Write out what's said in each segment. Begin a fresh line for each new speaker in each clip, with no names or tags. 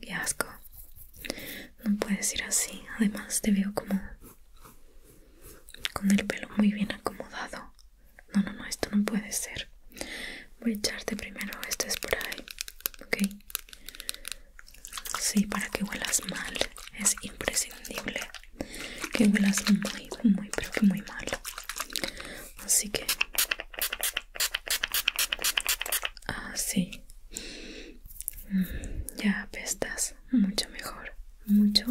qué asco. No puedes ir así. Además te veo como con el pelo muy bien acomodado. No, no, no, esto no puede ser. Voy a echarte primero este spray Ok. Sí, para que huelas mal. Es imprescindible que huelas muy, muy, pero que muy mal. Así que Así. Ah, mm, ya apestas mucho mejor. Mucho.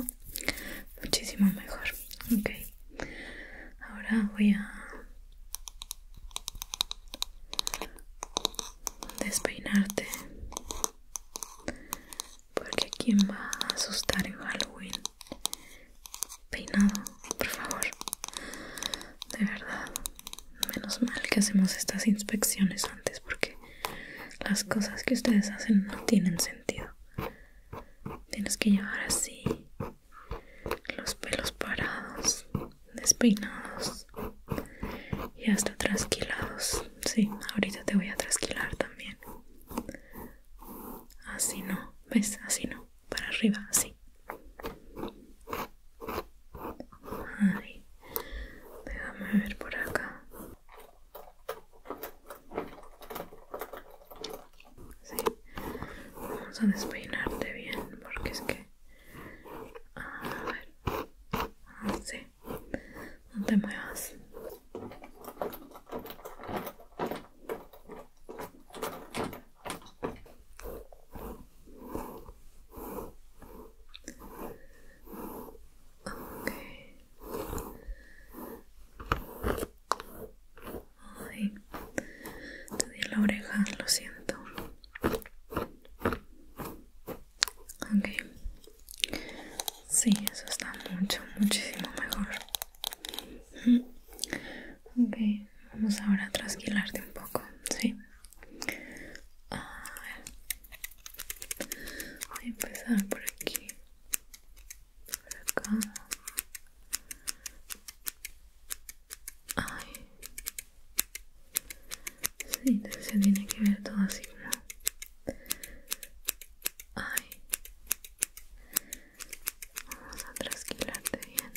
Muchísimo mejor. Ok. Ahora voy a despeinarte. Porque quién va a asustar en Halloween peinado, por favor. De verdad, menos mal que hacemos estas inspecciones antes porque las cosas que ustedes hacen no tienen sentido. Tienes que llevar así los pelos parados, despeinados y hasta trasquilados. Sí, ahorita te voy a trasquilar también. Así no, ¿ves? Así no para arriba, así. Ay, déjame ver por acá. Sí. Vamos a despeinarte bien porque es que... A ver. Ah, sí No te muevas. Okay. Ay, te di la oreja, lo siento. Okay, Sí, eso está mucho, muchísimo mejor. Ok, vamos ahora a trasquilarte un poco, ¿sí? Ah, voy a empezar por aquí. Por acá. Ay. Sí, se tiene que ver todo así, ¿no? Ay. Vamos a trasquilarte bien.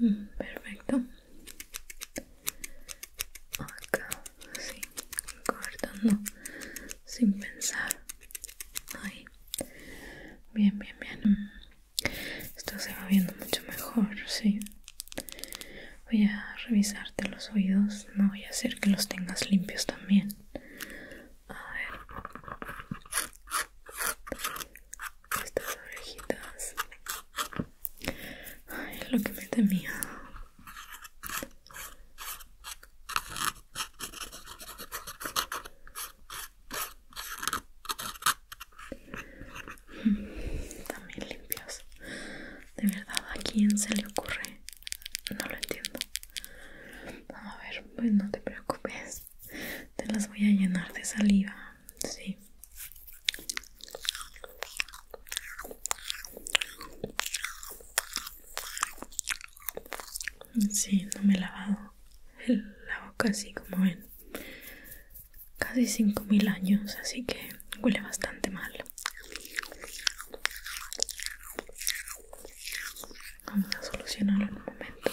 Mm, perfecto. Acá, así, cortando sin pensar bien bien bien esto se va viendo mucho mejor sí voy a revisarte los oídos no voy a hacer que los tengas limpios también a ver estas orejitas Ay, lo que me temía también limpios De verdad, ¿a quién se le ocurre? No lo entiendo. a ver, pues no te preocupes. Te las voy a llenar de saliva. Sí. Sí, no me he lavado la boca así como en casi 5.000 años, así que huele bastante mal. Vamos a solucionarlo en un momento.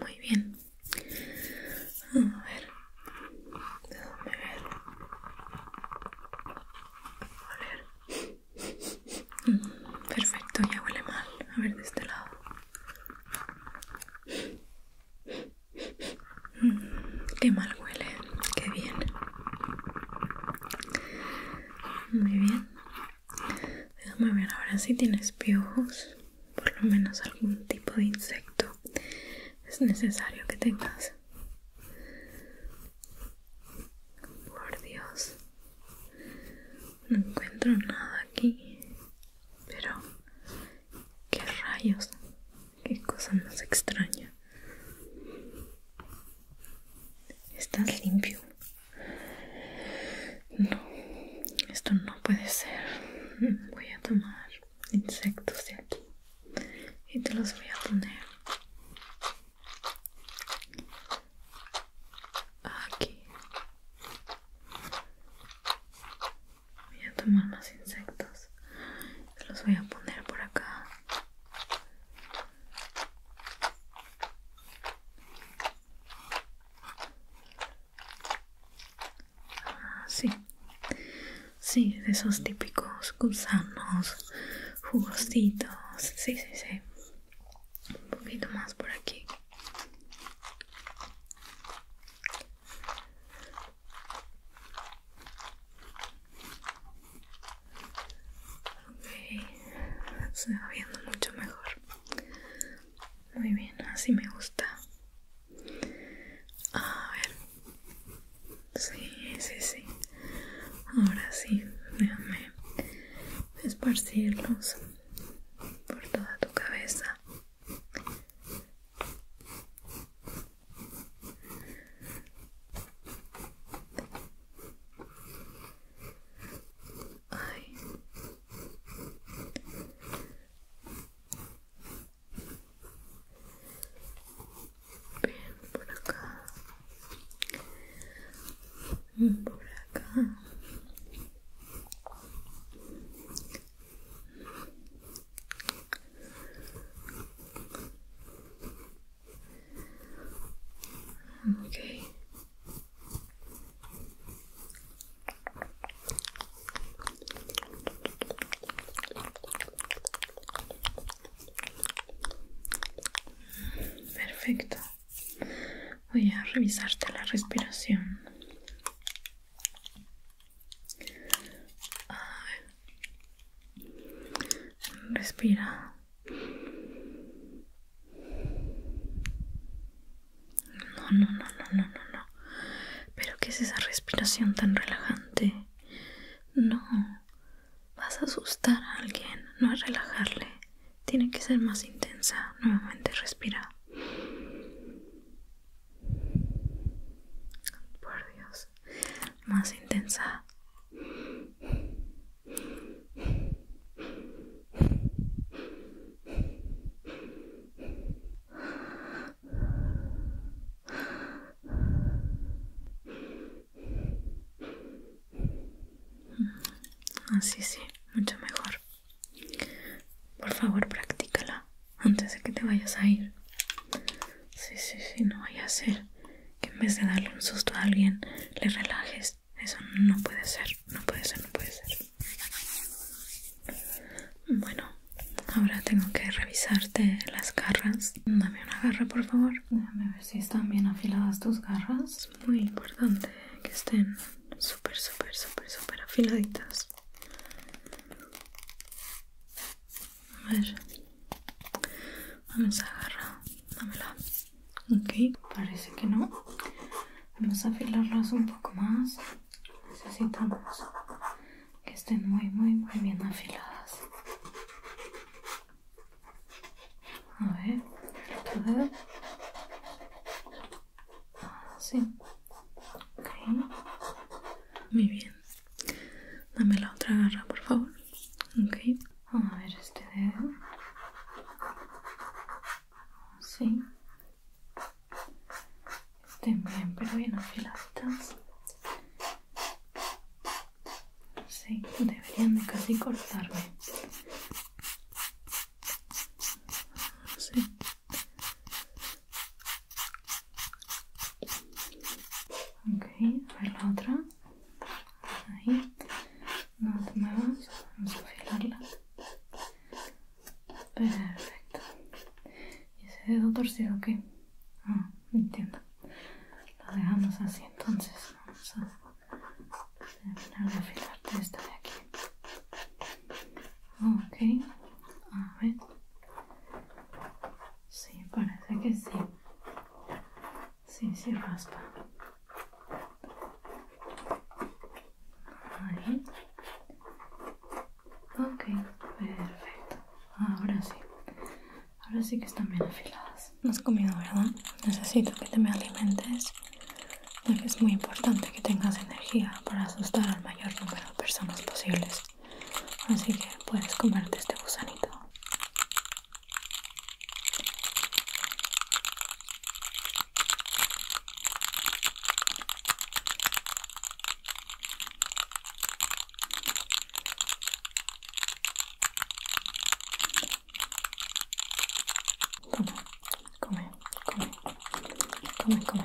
Muy bien. A ver. Déjame A ver. Perfecto, ya huele mal. A ver de este lado. Qué mal huele, qué bien. Muy bien. Déjame ver ahora si tienes piojos, por lo menos algún tipo de insecto. Es necesario que tengas. Por Dios. No encuentro nada aquí. Pero... ¿Qué rayos? Qué cosa más extraña. Estás limpio. No, esto no puede ser. Voy a tomar insectos de aquí y te los voy a poner aquí. Voy a tomar más insectos los voy a poner por acá ah, sí sí de esos típicos gusanos jugositos sí sí sí un poquito más por aquí Ok, se va viendo mucho mejor. Muy bien, así me gusta. A ver. Sí, sí, sí. Ahora sí, déjame esparcirlos por toda tu cabeza. Ay. Bien, por acá. Por acá. Okay. Perfecto. Voy a revisarte la respiración. A Respira. No, no, no, no, no, no, Pero ¿qué es esa respiración tan relajante? No. Vas a asustar a alguien, no a relajarle. Tiene que ser más intensa. Nuevamente respira. Por Dios más, intensa. Así sí, mucho mejor. Por favor, practícala antes de que te vayas a ir. Sí, sí, sí, no vaya a ser que en vez de darle un susto a alguien, le relajes. Eso no puede ser, no puede ser, no puede ser. Bueno, ahora tengo que revisarte las garras. Dame una garra, por favor. Déjame ver si están bien afiladas tus garras. Es muy importante que estén súper, súper, súper, súper afiladitas. A ver. Vamos a agarrar. Dámela. Ok. Parece que no. Vamos a afilarlas un poco más. Necesitamos que estén muy, muy, muy bien afiladas. A ver, el Así. Ah, ok. Muy bien. Dame la otra garra, por favor. Ok. Vamos a ver este dedo. Sí. Estén bien, pero bien afiladitas. Sí, deberían de casi cortarme. Sí. Ok, a ver la otra. Ahí. No te muevas. Vamos a afilarla Perfecto. ¿Y ese dedo torcido qué? Ah, entiendo. Lo dejamos así entonces. Vamos a terminar de afilarte esta de aquí. Ok. A ver. Sí, parece que sí. Sí, sí raspa. Ahí. Ok, perfecto. Ahora sí. Ahora sí que están bien afiladas. No has comido, ¿verdad? Necesito que te me alimentes. porque es muy importante que tengas energía para asustar al mayor número de personas posibles así que puedes comerte este gusanito Come, come, come, come,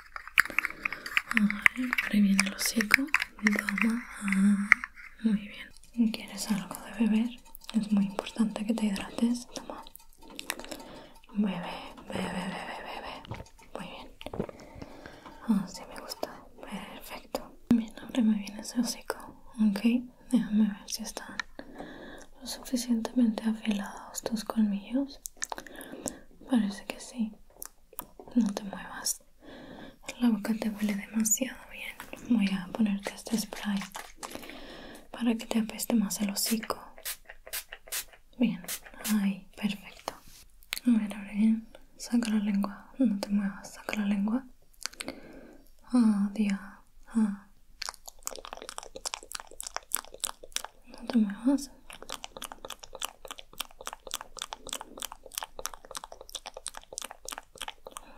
Abre bien el hocico. Toma. Ah, muy bien. ¿Quieres algo de beber? Es muy importante que te hidrates. Toma. Bebe, bebe, bebe, bebe. Muy bien. Ah, sí, me gusta. Perfecto. Bien, abre me viene ese hocico. Ok, déjame ver si están lo suficientemente afilados tus colmillos. Parece que sí. No te muevas. La boca te huele demasiado bien. Voy a ponerte este spray para que te apeste más el hocico. Bien. Ahí, perfecto. A ver, bien. Saca la lengua. No te muevas. Saca la lengua. oh ah. dios No te muevas.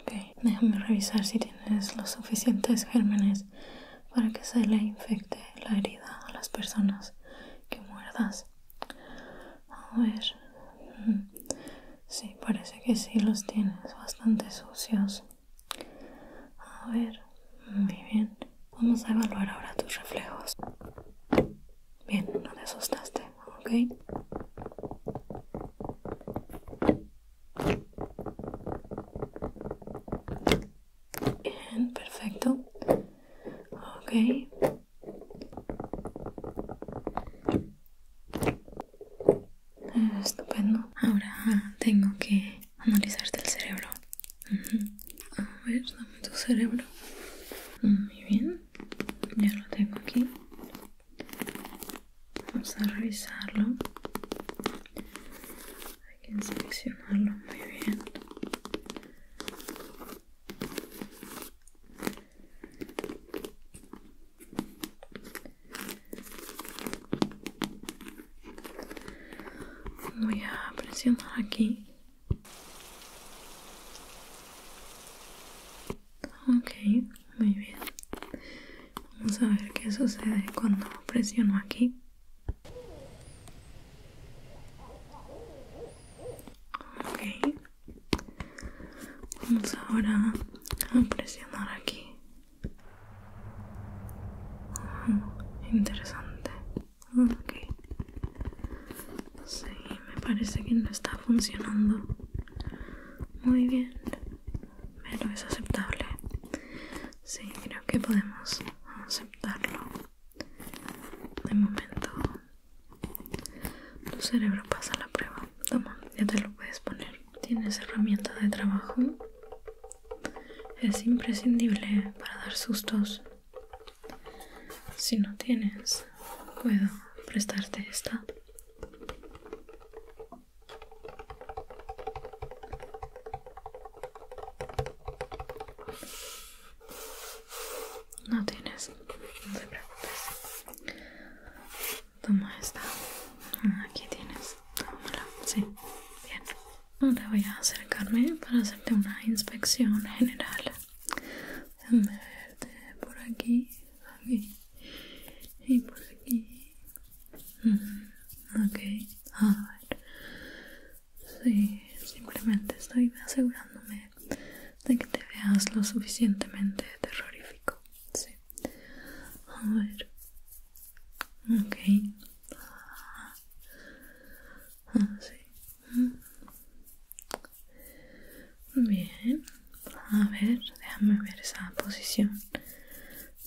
Ok, déjame revisar si tienes los suficientes gérmenes para que se le infecte la herida a las personas que muerdas. A ver. Mm, sí, parece que sí los tienes bastante sucios. A ver, muy mm, bien. Vamos a evaluar ahora tus reflejos. Bien, no te asustaste, ¿ok? Bien, perfecto. Ok. Ah, estupendo. Ahora tengo que analizarte el cerebro. A ver, dame tu cerebro. Muy bien ya lo tengo aquí vamos a revisarlo hay que inspeccionarlo muy bien voy a presionar aquí Ok, muy bien. Vamos a ver qué sucede cuando presiono aquí. Ok. Vamos ahora a presionar aquí. interesante. Ok. Sí, me parece que no está funcionando. Muy bien. Pero es aceptable. Sí, creo que podemos aceptarlo. De momento. Tu cerebro pasa la prueba. Toma, ya te lo puedes poner. Tienes herramienta de trabajo. Es imprescindible para dar sustos si no tienes, puedo prestarte esta. No tienes, no te preocupes. Toma esta. Aquí tienes. sí. Bien. Ahora voy a acercarme para hacerte una inspección general déjame verte por aquí aquí y por aquí mm, ok a ver sí simplemente estoy asegurándome de que te veas lo suficientemente terrorífico sí a ver ok ah, sí Bien, a ver, déjame ver esa posición.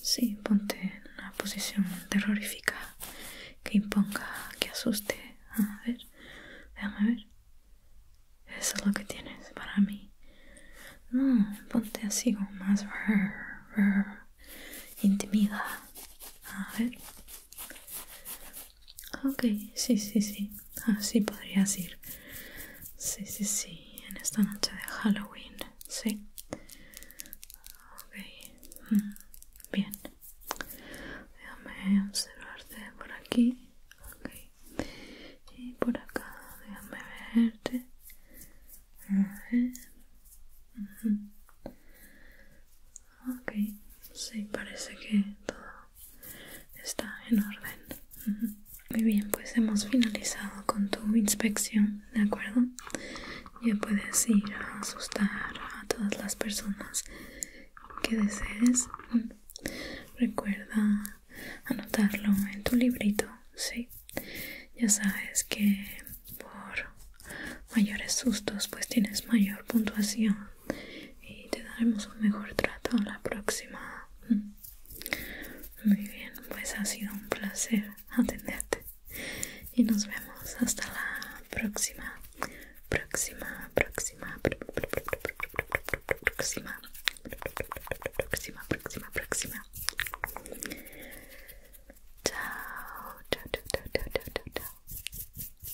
Sí, ponte en una posición terrorífica que imponga, que asuste. A ver, déjame ver. Eso es lo que tienes para mí. ponte así como más intimida. A ver. Ah, ok, sí, sí, sí. Así ah, podrías ir. Sí, sí, sí. En esta noche de Halloween. Sí. Ok. Mm, bien. Déjame observarte por aquí. Ok. Y por acá. Déjame verte. A ver. Ok, sí, parece que todo está en orden. Muy bien, pues hemos finalizado con tu inspección, ¿de acuerdo? Ya puedes ir a asustar a todas las personas que desees. Recuerda anotarlo en tu librito, ¿sí? Ya sabes que por mayores sustos pues tienes mayor puntuación y te daremos un mejor trato la próxima. Mm. Muy bien, pues ha sido un placer atenderte y nos vemos hasta la próxima, próxima, próxima, próxima, próxima, próxima, próxima. chao, chao, chao, chao, chao, chao.